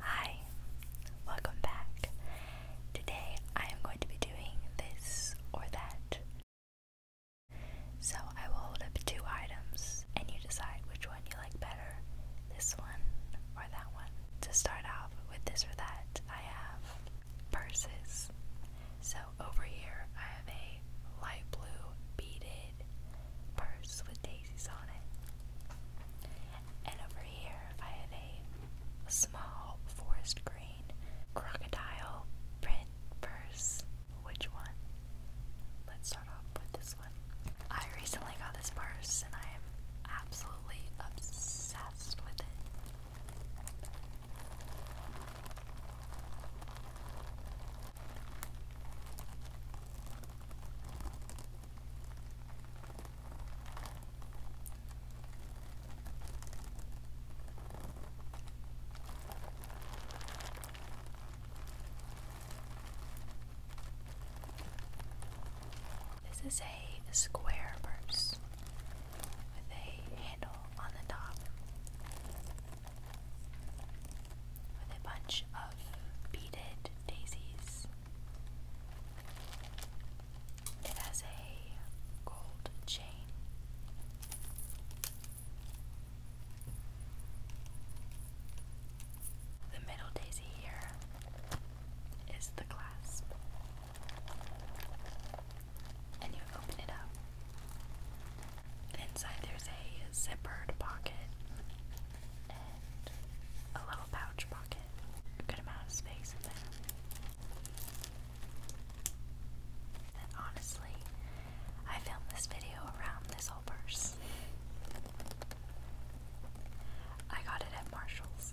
Hi, welcome back. Today I am going to be doing this or that. So I will hold up two items and you decide which one you like better this one or that one. To start off with this or that, I have purses. So over here I have a light blue beaded purse with a and over here I have a small forest green crocodile print purse. Which one? Let's start off with this one. I recently got this purse and I am absolutely obsessed with it. This is a square purse with a handle on the top with a bunch of beaded daisies it has a gold chain. The middle daisy here is the clasp, and you open it up. inside, there's a zippered pocket and a little pouch pocket. A good amount of space in there. And honestly, I filmed this video around this whole purse. I got it at Marshall's.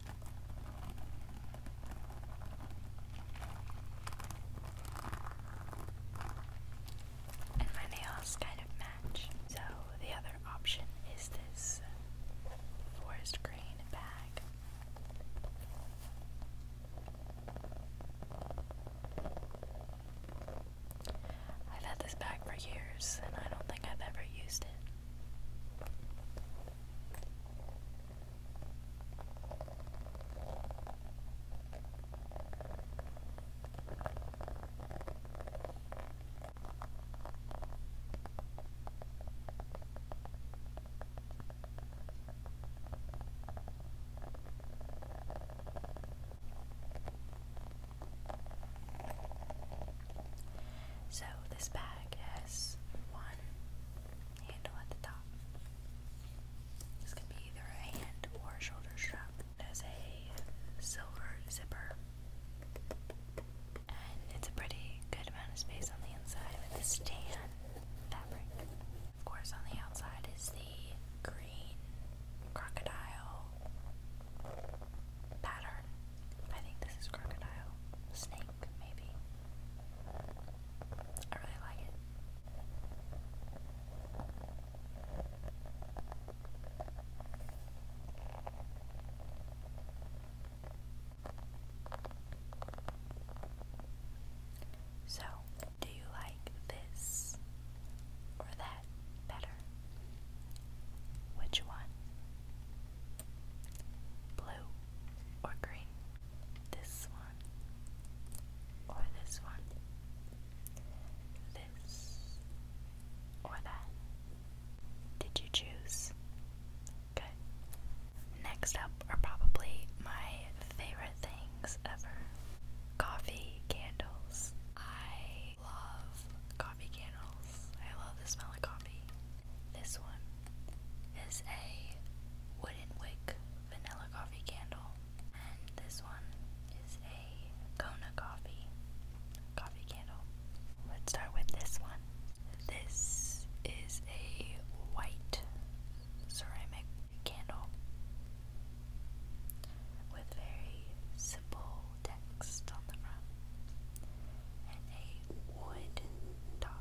And my nails kind of match. So the other option is this forest green bag. I've had this bag for years and I don't think I've ever used it. So, this bag has one, handle at the top. This can be either a hand or shoulder strap. It has a silver zipper. And it's a pretty good amount of space on the inside with this tan fabric. Of course, on the outside is the green crocodile pattern. I think this is crocodile. Snake, maybe. I really like it. So, do you like this or that better? Which one? Blue or green? this one, or this one, this, or that. Did you choose? Good. Next up are probably my favorite things ever coffee candles. I love coffee candles. I love the smell of coffee. This one is a wooden wick vanilla coffee candle. And this one is a Kona coffee coffee candle. Let's start with this one. This is a white ceramic candle with very simple text on the front and a wood top.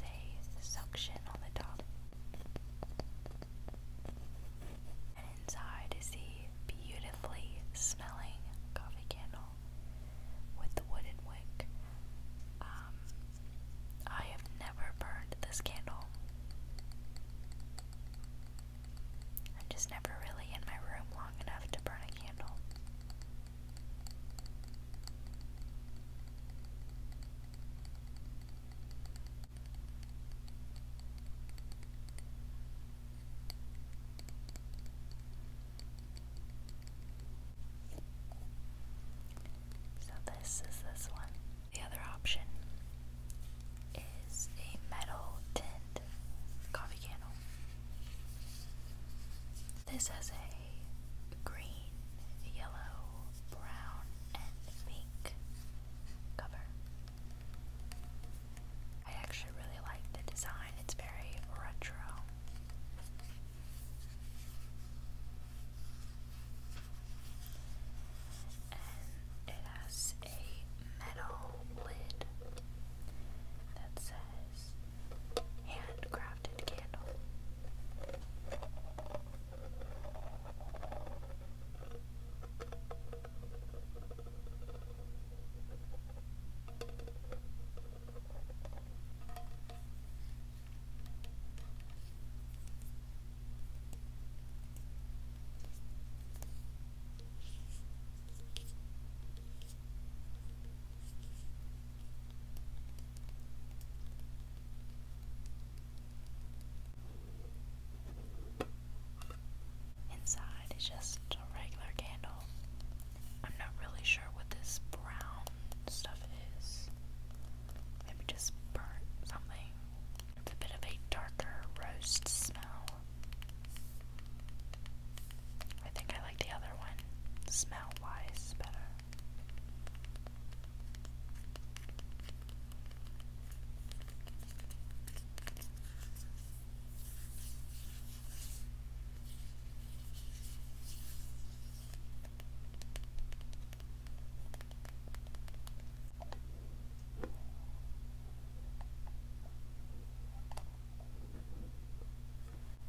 There's a suction on the top. And inside is the beautifully smelling coffee candle with the wooden wick. Um, I have never burned this candle. I'm just never really in my room long enough to burn a candle. So, this is this one. The other option is a metal tinned coffee candle. This has a green, yellow, brown, and pink cover. I actually really like the design, it's very retro. And it has a metal lid that says handcrafted candle. Inside is just a regular candle. I'm not really sure what this brown stuff is. Maybe just burnt something. It's a bit of a darker roast smell. I think I like the other one, smell wise, better.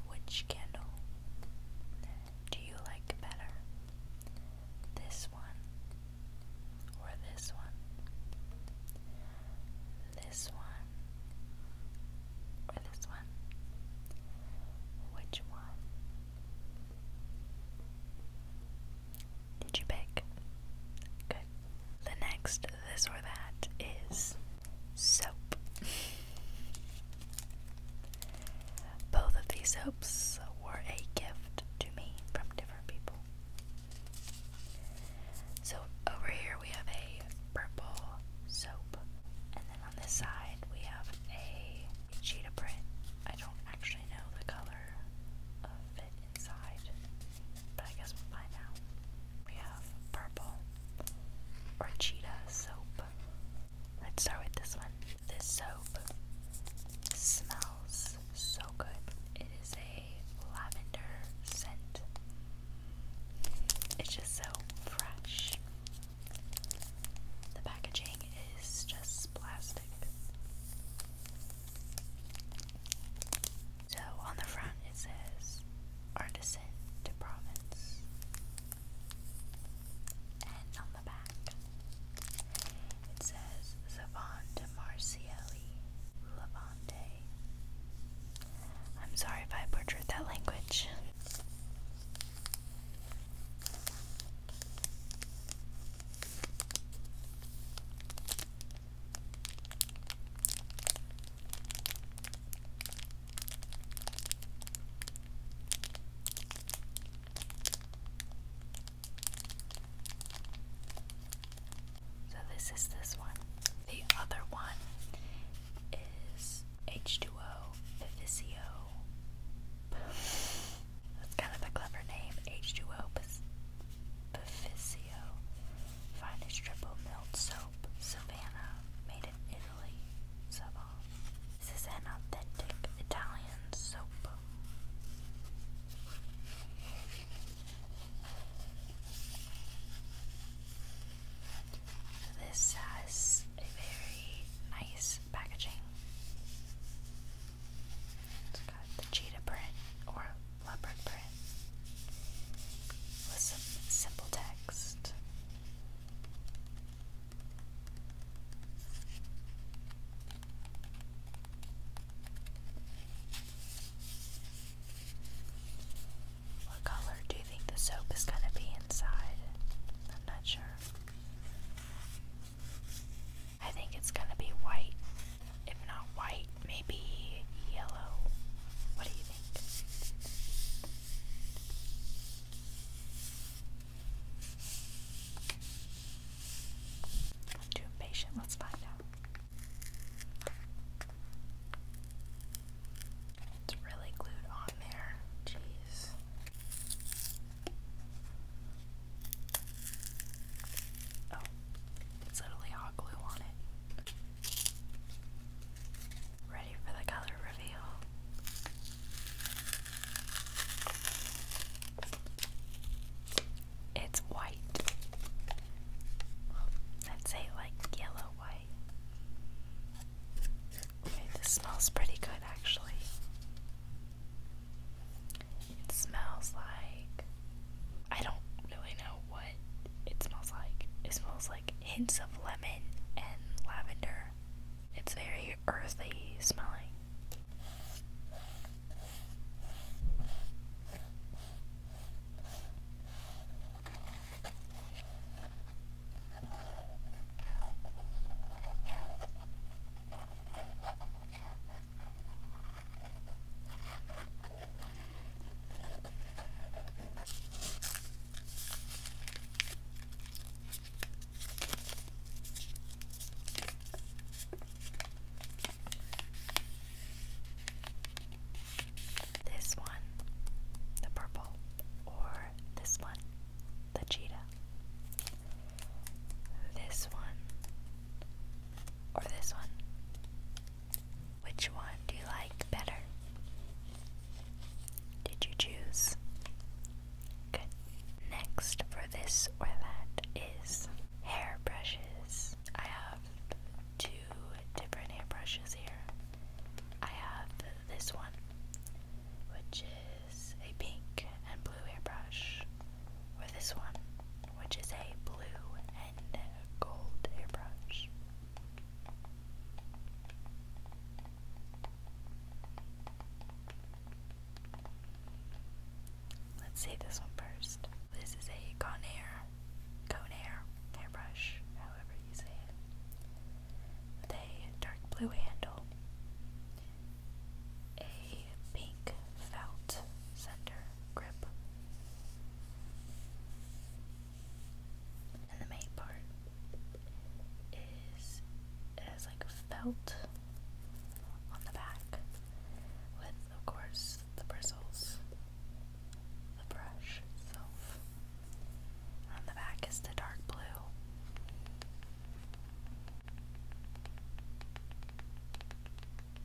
Which candle do you like better? This one or this one? This one or this one? Which one? Did you pick? Good. The next this or that is soap. Both of these soaps were a gift to me from different people. So over here we have a purple soap, and then on this side we have a cheetah print. I don't actually know the color fit inside, but I guess we'll find out. We have purple or soap. Let's start with this one. This soap smells so good. It is a lavender scent. It's just so fresh. The packaging is just plastic. So on the front it says Artisan to Province, and on the back it says Savon de Marcielli Levante. I'm sorry if I butchered that language. So, this is this one. The other one is H2O Vivisio. That's kind of a clever name, H2O Bevisio, finest triple milled soap, Savannah, made in Italy, Savon. This is an authentic Italian soap. This has a very nice packaging the cheetah print or leopard print some simple text. What color do you think the soap is going to be inside? I'm not sure. I think it's gonna be white. If not white, maybe yellow. What do you think? too impatient, let's find out. It's really glued on there. Jeez. Oh, it's literally hot glue on it. Ready for the color reveal. It's white. I'd say like yellow white. Okay, this smells pretty good actually. It smells like. I don't really know what it smells like. It smells like hints of lemon and lavender. It's very earthy smelling. This one, the purple, or this one, the cheetah. This one, or this one? Which one do you like better? Did you choose? Good. Next for this or that is hair brushes. I have two different hair brushes here. I have this one, which is a pink and blue hairbrush, or this one, which is a blue and gold airbrush. Let's see this one first. This is a Conair, Conair airbrush, however you say it, with a dark blue handle, a pink felt center grip. And the main part is has like felt on the back with of course the bristles, the brush itself. On the back is the dark blue.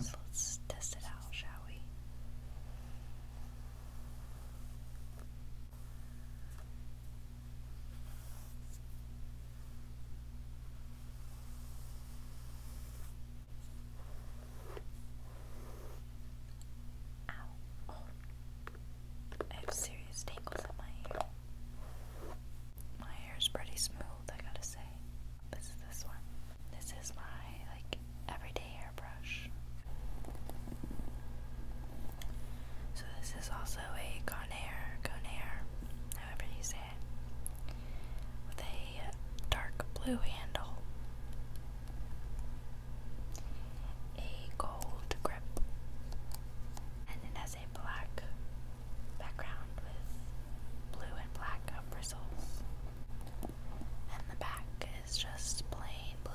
So let's test it out, shall we? Ow. I have serious tangles in my hair. My hair is pretty smooth, I gotta say. This is this one. This is my, like, everyday hairbrush. So this is also a Conair, Conair, however you say it, with a dark blue handle a gold grip, and it has a black background with blue and black bristles, and the back is just plain blue.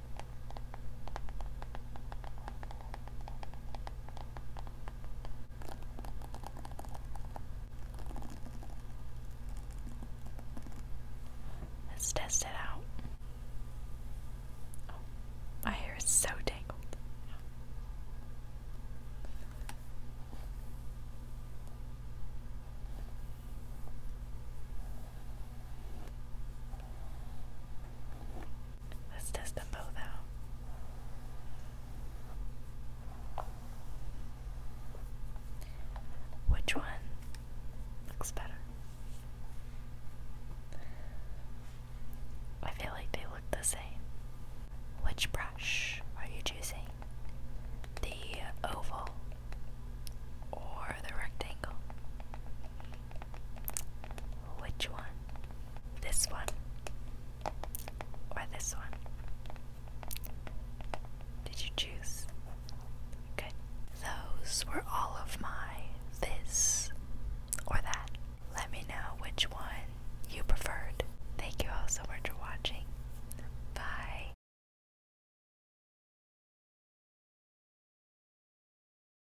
Let's test it out. Oh, my hair is so tangled. Let's test them both out. Which one looks better? I feel like they look the same. Which brush are you choosing? The oval or the rectangle? Which one? This one? Or this one? Did you choose? Good. Those were all of my this or that. Let me know which one you preferred. Thank you all so much for watching. Bye.